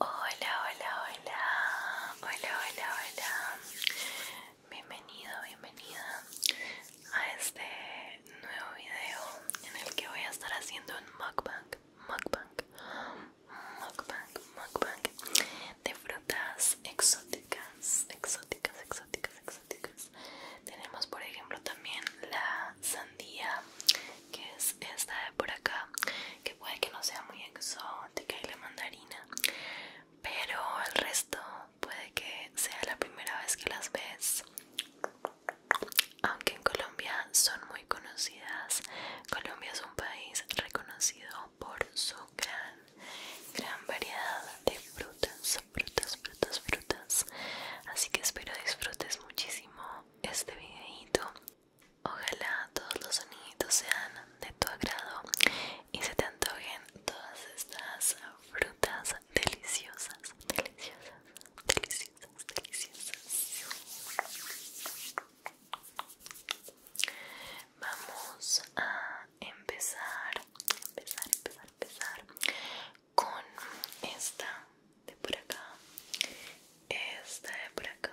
Hola, hola, hola, hola, hola, hola. Bienvenido, bienvenida a este nuevo video en el que voy a estar haciendo un mukbang, mukbang, mukbang, mukbang de frutas exóticas, exóticas, exóticas, exóticas. Tenemos por ejemplo también la sandía, que es esta de por acá que puede que no sea muy exótica y la mandarina pero el resto puede que sea la primera vez que las ves aunque en Colombia son muy conocidas Colombia es un país reconocido por su gran gran variedad de frutas frutas frutas frutas así que espero disfrutes muchísimo este videito Ojalá todos los sonidos sean de tu agrado y se te antojen todas estas frutas deliciosas, deliciosas, deliciosas, deliciosas. Vamos a empezar, empezar, empezar, empezar con esta de por acá, esta de por acá.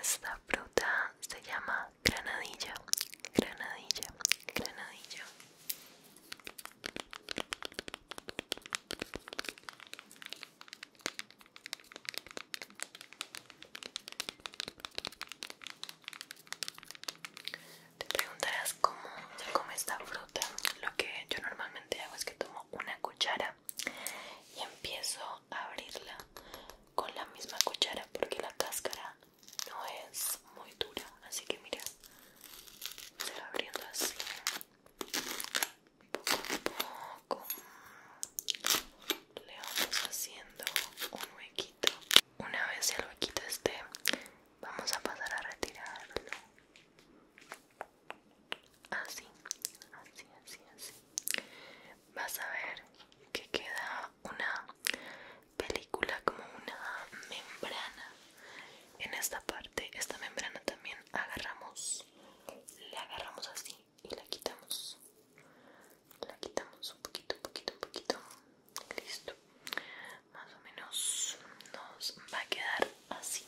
Esta fruta se llama granadilla, granadilla, granadilla. Te preguntarás cómo se come esta fruta lo que yo normalmente hago es que tomo una cuchara y empiezo a abrirla con la misma cuchara porque la cáscara no es muy dura así que mira se va abriendo así poco a poco le vamos haciendo un huequito una vez el huequito esté vamos a pasar a retirarlo así así así así vas a ver que queda una película como una membrana en esta parte esta membrana también agarramos la agarramos así y la quitamos la quitamos un poquito un poquito un poquito listo más o menos nos va a quedar así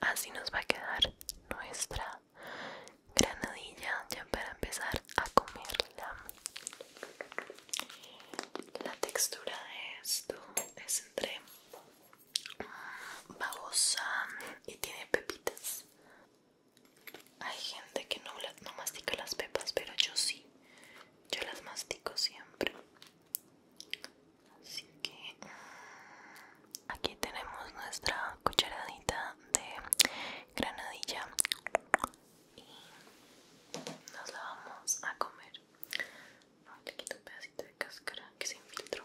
Así nos va a quedar nuestra granadilla ya para empezar a comerla. La textura de esto es entre mm, babosa y tiene pepitas. Hay gente que no, mastica las pepas, pero yo sí. Yo las mastico siempre. Así que aquí tenemos nuestra cucharadita de granadilla y nos la vamos a comer. a quito un pedacito de cáscara que se infiltró.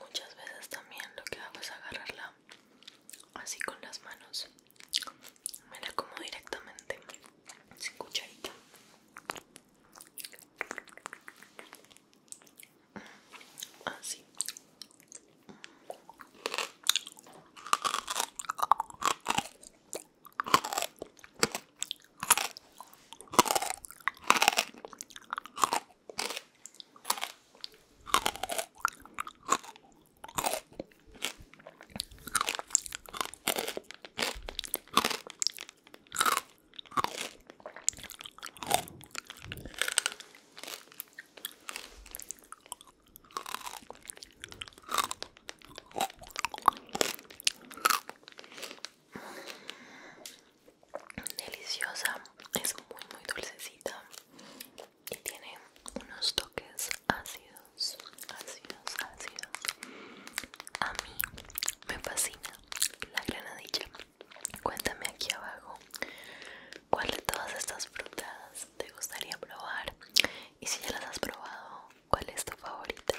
Muchas veces también lo que hago es agarrarla así con las manos me la como directamente sin cucharita así Deliciosa, es muy muy dulcecita y tiene unos toques ácidos ácidos, ácidos, ácidos. A mí me fascina la granadilla. Cuéntame aquí abajo cuál de todas estas frutas te gustaría probar y si ya las has probado, cuál es tu favorita.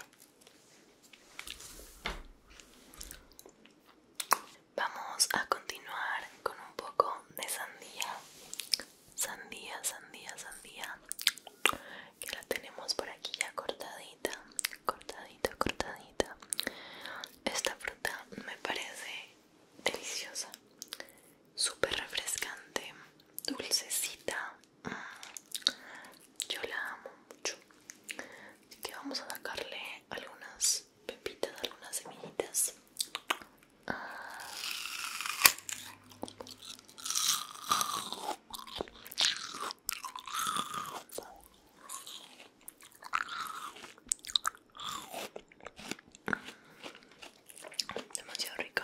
Vamos a continuar con un poco de sandía sandía, sandía, sandía. Que la tenemos por aquí ya cortadita, cortadita, cortadita. Esta fruta me parece deliciosa, súper refrescante, dulcecita. Mm, yo la amo mucho. Así que vamos a sacarle algunas pepitas, algunas semillitas. Demasiado rico.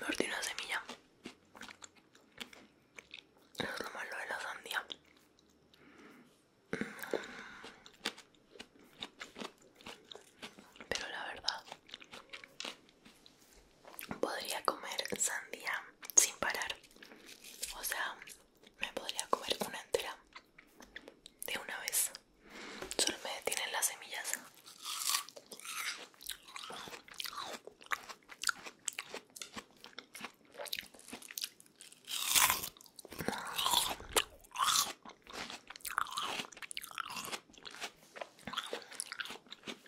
Mordí una semilla. es lo malo de la sandía. Pero la verdad podría comer sandía sin parar. O sea, me podría comer una entera de una vez. Solo me detienen las semillas.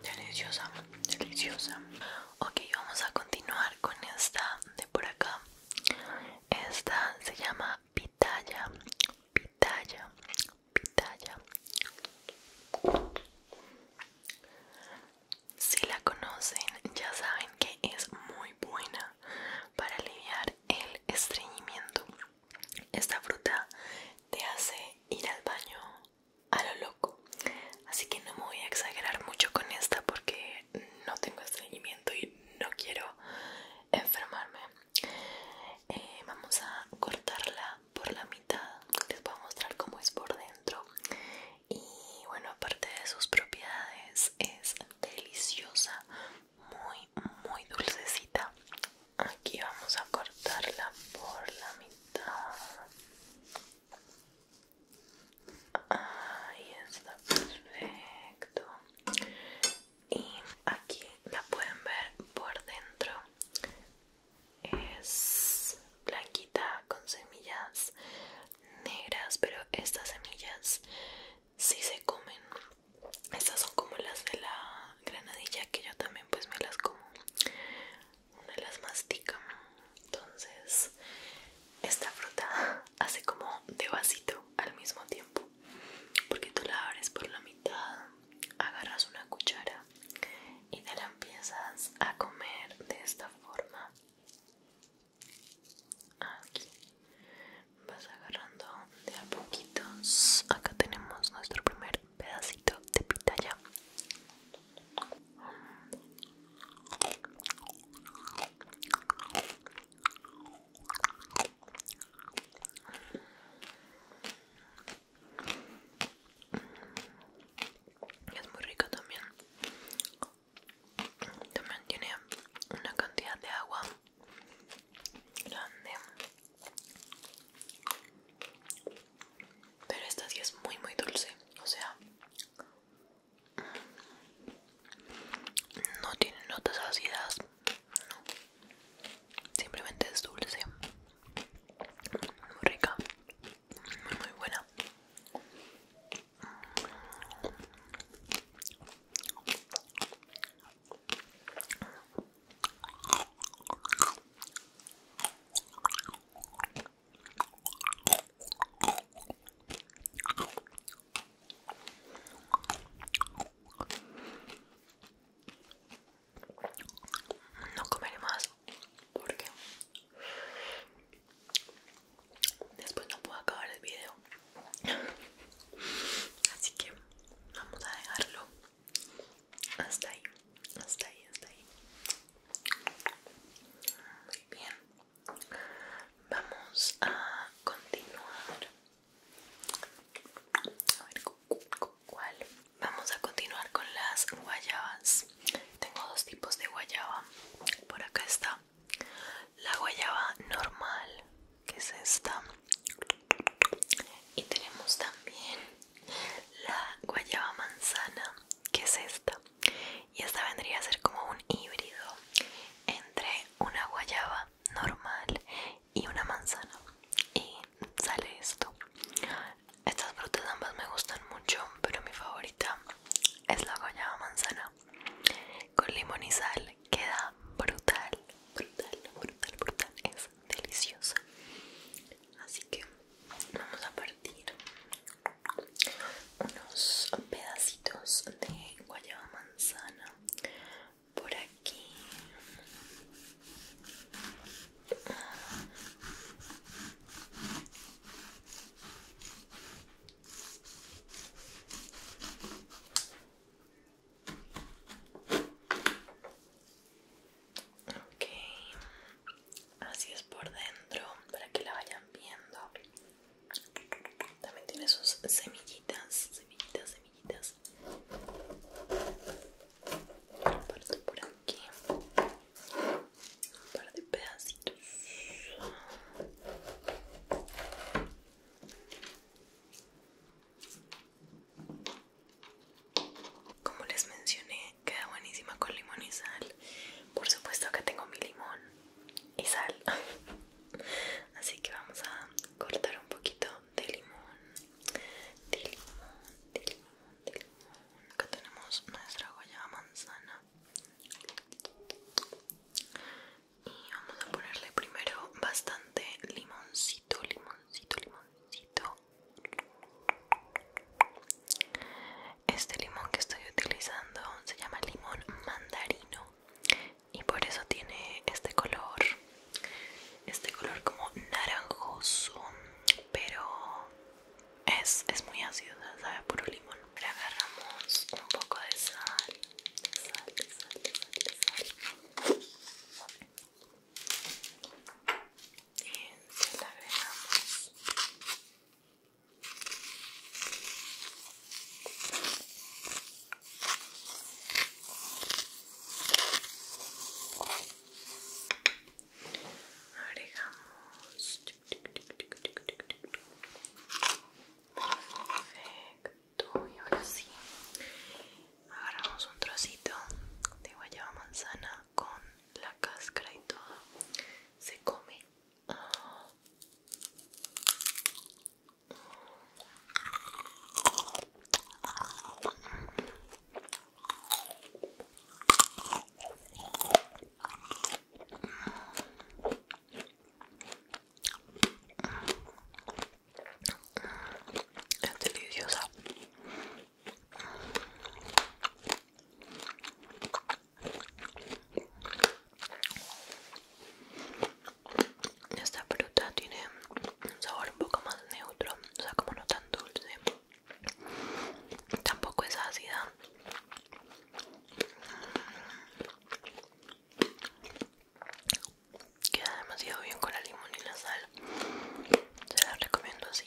Deliciosa, deliciosa. Ok, vamos a continuar con esta de por acá. Esta se llama pitaya, pitaya, pitaya. Si la conocen, ya saben que es muy buena para aliviar el estreñimiento. Esta fruta te hace ir al baño a lo loco. Así que no me voy a exagerar mucho con esta porque no tengo estreñimiento y no quiero enfermarme. Eh, vamos a cortarla por la mitad. Les voy a mostrar cómo es por dentro. Y bueno, aparte de sus propiedades, es deliciosa, muy, muy dulcecita. Aquí vamos a cortarla por la mitad. Ahí está perfecto. Y aquí la pueden ver por dentro. Es blanquita con semillas negras, pero estas semillas sí se comen. Estas son como las de la granadilla que yo también pues me las como me las mastica. Entonces, esta fruta hace como de vasito al mismo tiempo. Porque tú la abres por la mitad, agarras una cuchara y te la empiezas a comer de esta forma. Aquí vas agarrando de a poquitos. Acá tenemos nuestro primer pedacito de pitaya. Es muy rico también. También tiene una cantidad de agua grande. Pero esta sí es muy muy dulce, o sea, no tiene notas ácidas, no. Simplemente es dulce. Muy rica, muy muy buena. No comeré más porque después no puedo acabar el video. Así que vamos a dejarlo hasta ahí hasta ahí, hasta Muy bien. Vamos a continuar. A ¿cuál? Vamos a continuar con las guayabas. Tengo dos tipos de guayaba. Por acá está la guayaba normal, que es esta. Y tenemos también la guayaba manzana, que es esta y esta vendría a ser como un híbrido entre una guayaba normal y una manzana y sale esto estas frutas ambas me gustan mucho pero mi favorita es la guayaba manzana con limón y sal queda brutal brutal brutal brutal es deliciosa así que vamos a partir unos pedacitos de guayaba manzana por aquí Ok, así es por dentro para que la vayan viendo. También tiene sus semillitas, semillitas, semillitas. por aquí. Un par de pedacitos. Como les mencioné, queda buenísima con limón y sal. Por supuesto que tengo mi limón y sal. Así que vamos a cortar un poquito de limón. De limón, de limón, de limón. Acá tenemos nuestra goya manzana. Y vamos a ponerle primero bastante limoncito, limoncito, limoncito este limón que estoy utilizando se llama limón mandarino y por eso tiene este color, este color como naranjoso, pero es, muy ácido, sabe puro limón. Le agarramos un poco de sal, sal, sal, sal, sal y se la agregamos agregamos perfecto y ahora sí agarramos un trocito de guayaba manzana con la cáscara y todo se come deliciosa esta fruta tiene un sabor un poco más neutro, o sea, como no tan dulce. Tampoco es ácida. Queda demasiado bien con la limón y la sal. Se la recomiendo así.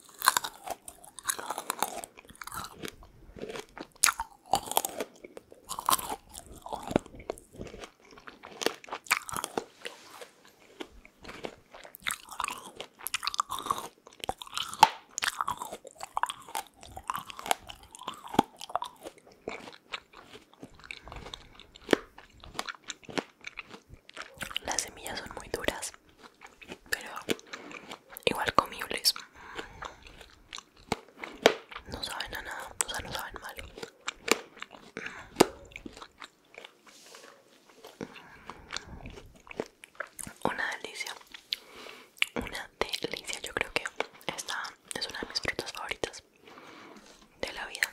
Las semillas son muy duras pero igual comibles no saben a nada o sea no saben mal una delicia una delicia yo creo que esta es una de mis frutas favoritas de la vida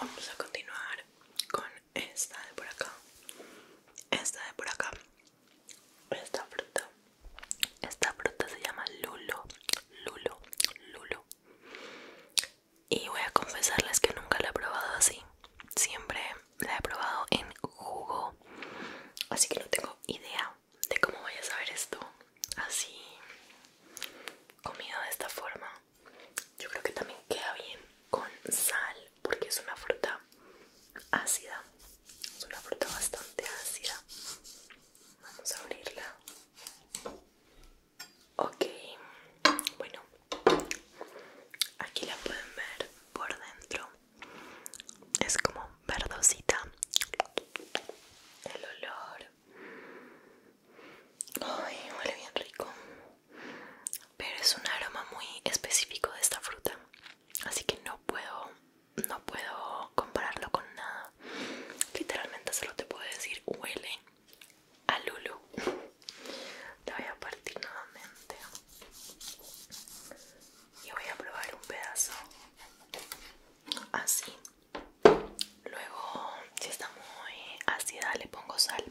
Vamos a continuar con esta de por acá. Esta de por acá esta fruta esta fruta se llama lulo lulo lulo y voy a confesarles que nunca la he probado así siempre la he probado en jugo así que no tengo idea de cómo vaya a saber esto así comida de esta forma yo creo que también queda bien con sal porque es una fruta ácida es una fruta bastante ácida vamos a abrirla ok bueno aquí la pueden ver por dentro es como verdosita el olor ay huele bien rico pero es un aroma muy específico de esta fruta así que no puedo no puedo compararlo con nada literalmente solo te puedo decir huele a Lulu te voy a partir nuevamente y voy a probar un pedazo así luego si está muy ácida le pongo sal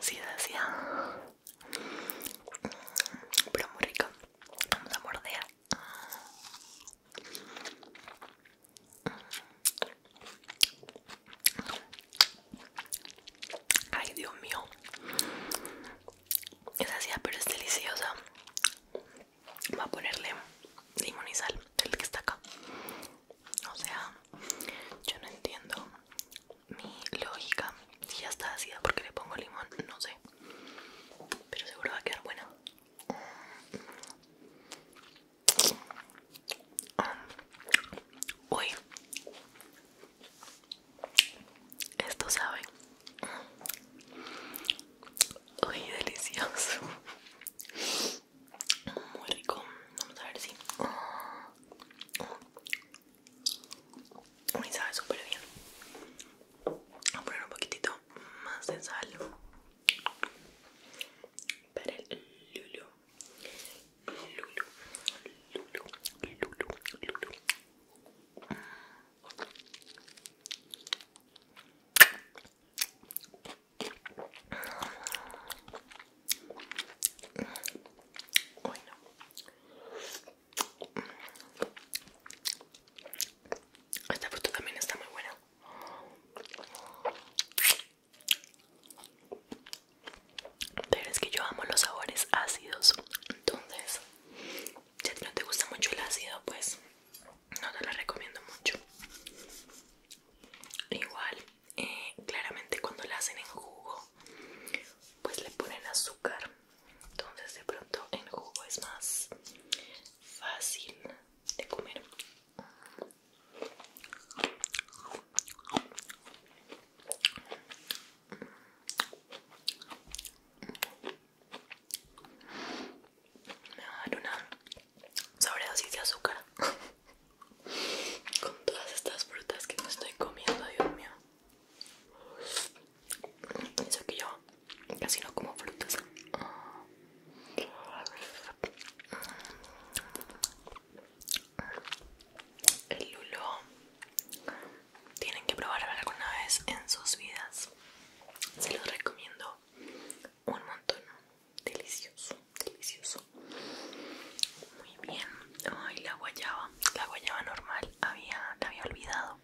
Sí, así Pero muy rico. Vamos a morder. Ay, Dios mío. Es así, pero es deliciosa. Voy a ponerle limón y sal, el que está acá. O sea, yo no entiendo mi lógica. Si ya está ¿por porque le pongo limón? No sé. Pero seguro va a quedar bueno Uy. Esto sabe. Uy, delicioso muy rico vamos a ver si me sabe súper bien voy a poner un poquitito más de sal para el lulu lulu lulu lulu lulu esta fruta también está muy buena. Pero es que yo amo los sabores ácidos. Entonces, si a ti no te gusta mucho el ácido, pues no te lo recomiendo mucho. Igual, eh, claramente cuando la hacen en jugo, pues le ponen azúcar. Entonces de pronto en jugo es más fácil de comer. Ah, sobre dosis de azúcar con todas estas frutas que me estoy comiendo, Dios mío. pienso que yo casi no como frutas. El lulo tienen que probarlo alguna vez en sus vidas. Se los recomiendo un montón delicioso delicioso muy bien ay la guayaba la guayaba normal había la había olvidado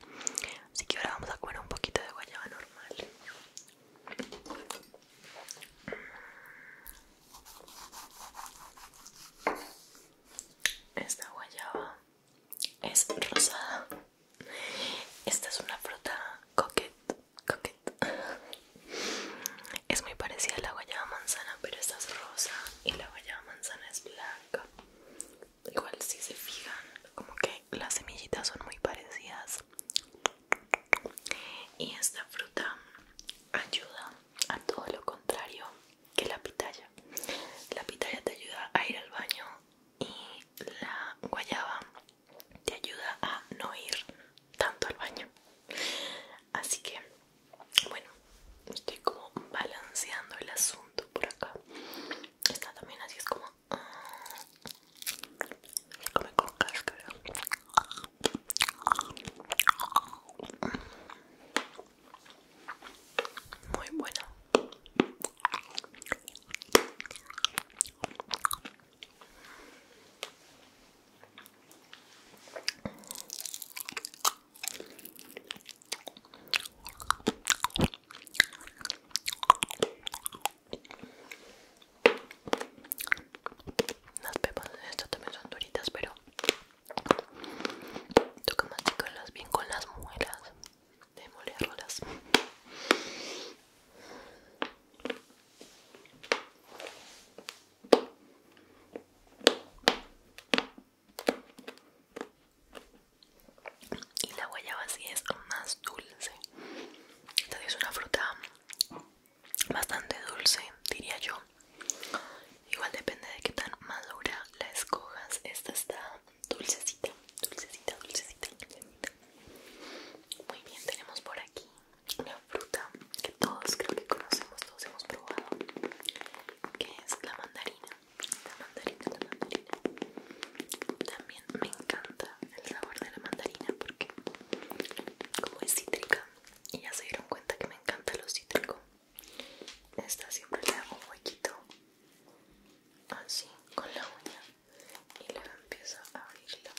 así que ahora vamos a comer un poquito de guayaba normal esta guayaba es rosada. Esta es una fruta coqueta es muy parecida a la guayaba manzana, pero esta es rosa y la guayaba manzana es blanca. Igual si se fijan, como que las semillitas son muy parecidas. Y esta fruta ayuda a todo lo contrario que la pitaya. La pitaya te ayuda a ir al baño y la guayaba te ayuda a no ir tanto al baño. Así que, bueno, estoy como balanceando el asunto por acá. Está también así, es como... como con cáscara. Muy buena las pepas de estas también son duritas, pero toca masticarlas bien con las muelas de molerlas. Y la guayaba sí es más dulce. Esta es una fruta bastante dulce, diría yo. Igual depende de qué tan madura la escojas. Esta está dulcecita, dulcecita, dulcecita. Muy bien, tenemos por aquí una fruta que todos creo que conocemos, todos hemos probado, que es la mandarina. La mandarina, la mandarina. También me encanta el sabor de la mandarina porque como es cítrica y ya se dieron cuenta que me encanta lo cítrico. Esta siempre le hago un huequito así con la uña y luego empiezo a abrirlo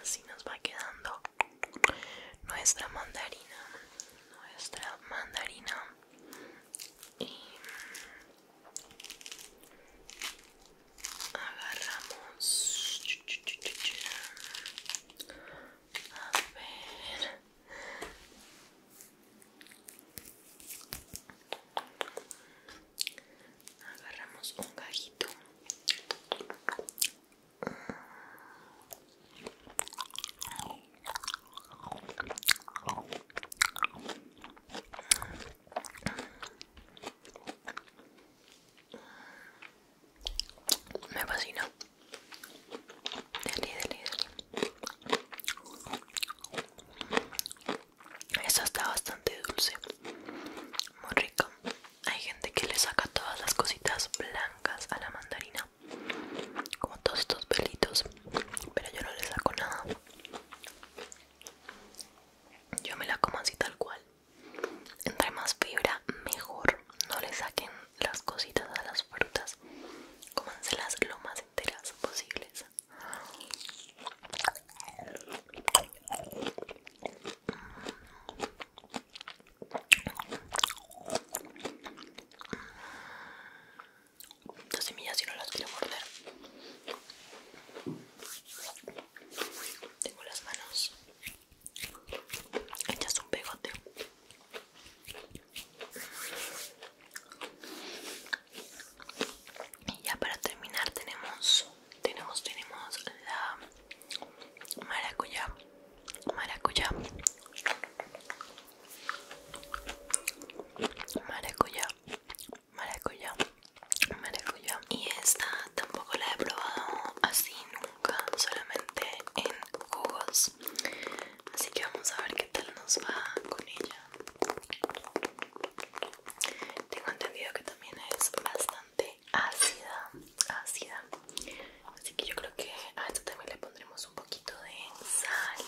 así nos va quedando nuestra mandarina nuestra mandarina y agarramos a ver agarramos un gajito me fascina. Deli, deli, deli. Esta está bastante dulce. Muy rica. Hay gente que le saca todas las cositas blancas a la mandarina. Como todos estos pelitos. Pero yo no le saco nada. Yo me la como así tal cual. Entre más fibra, mejor. No le saquen las cositas a las frutas. Cómanselas lo más enteras posibles. Las semillas si no las quiero morder. Tengo las manos echas un pegote. Y ya para terminar tenemos tenemos tenemos la maracuyá. Maracuyá. Maracuyá maracuyá, Y esta tampoco la he probado así nunca, solamente en jugos. Así que vamos a ver qué tal nos va con ella. Tengo entendido que también es bastante ácida, ácida. Así que yo creo que a esta también le pondremos un poquito de sal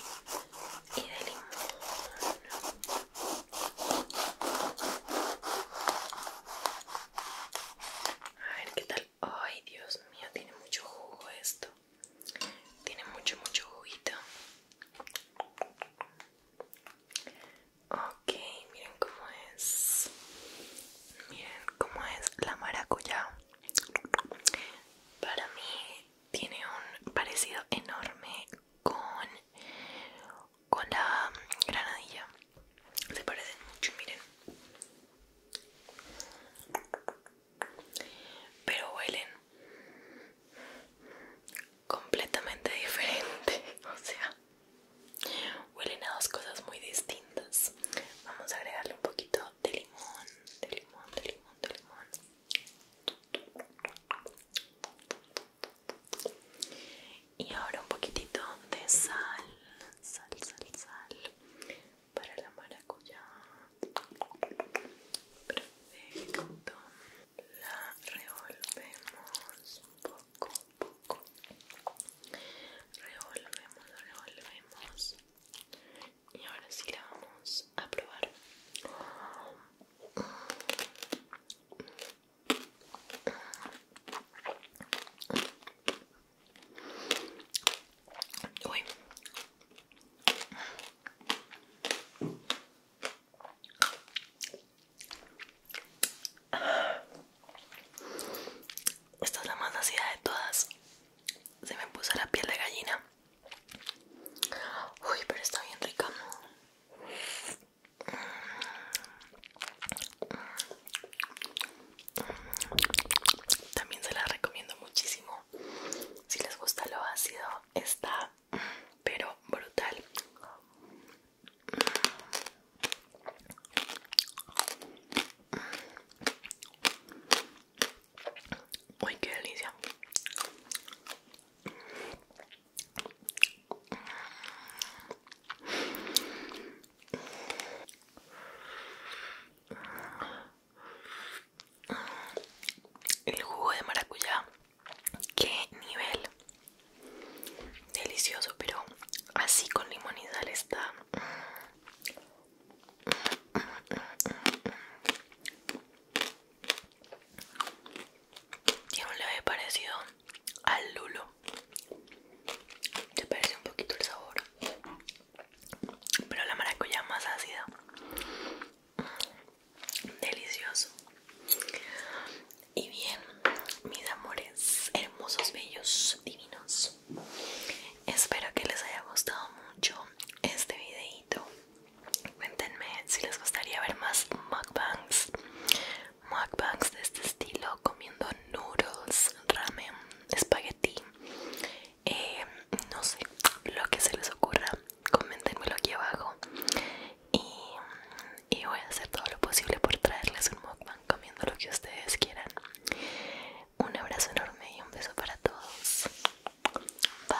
y de limón. A ver qué tal. Ay, Dios mío, tiene mucho jugo esto. Tiene mucho, mucho juguito. Ok, miren cómo es. Miren cómo es la maracuyá. Para mí tiene un parecido enorme con, con la granadilla. Se parecen mucho, miren. Pero huelen completamente diferente. O sea, huelen a dos cosas muy distintas. Vamos a agregarle un poquito de limón, de limón, de limón, de limón. Y ahora un poquitito de sal, sal, sal, sal, para la maracuyá. Perfecto. La revolvemos un poco, un poco. Revolvemos, revolvemos. Y ahora sí la vamos a probar. Uy. Esta es la más nacida de todas. Se me puso la piel de gallina. Uy, pero está bien rica. También se las recomiendo muchísimo. Si les gusta lo ácido, está pero brutal. Uy, qué delicia. El jugo de maracuyá, qué nivel delicioso, pero así con limón está. Tiene un leve parecido al lulo se parece un poquito el sabor pero la maracuyá más ácida delicioso y bien mis amores hermosos bellos divinos espero que les haya gustado mucho este videito cuéntenme si les gustaría ver más mukbangs mukbangs de este estilo comiendo noodles, ramen, espagueti, eh, no sé, lo que se les ocurra, Comentenmelo aquí abajo y, y voy a hacer todo lo posible por traerles un mukbang comiendo lo que ustedes quieran. Un abrazo enorme y un beso para todos. Bye.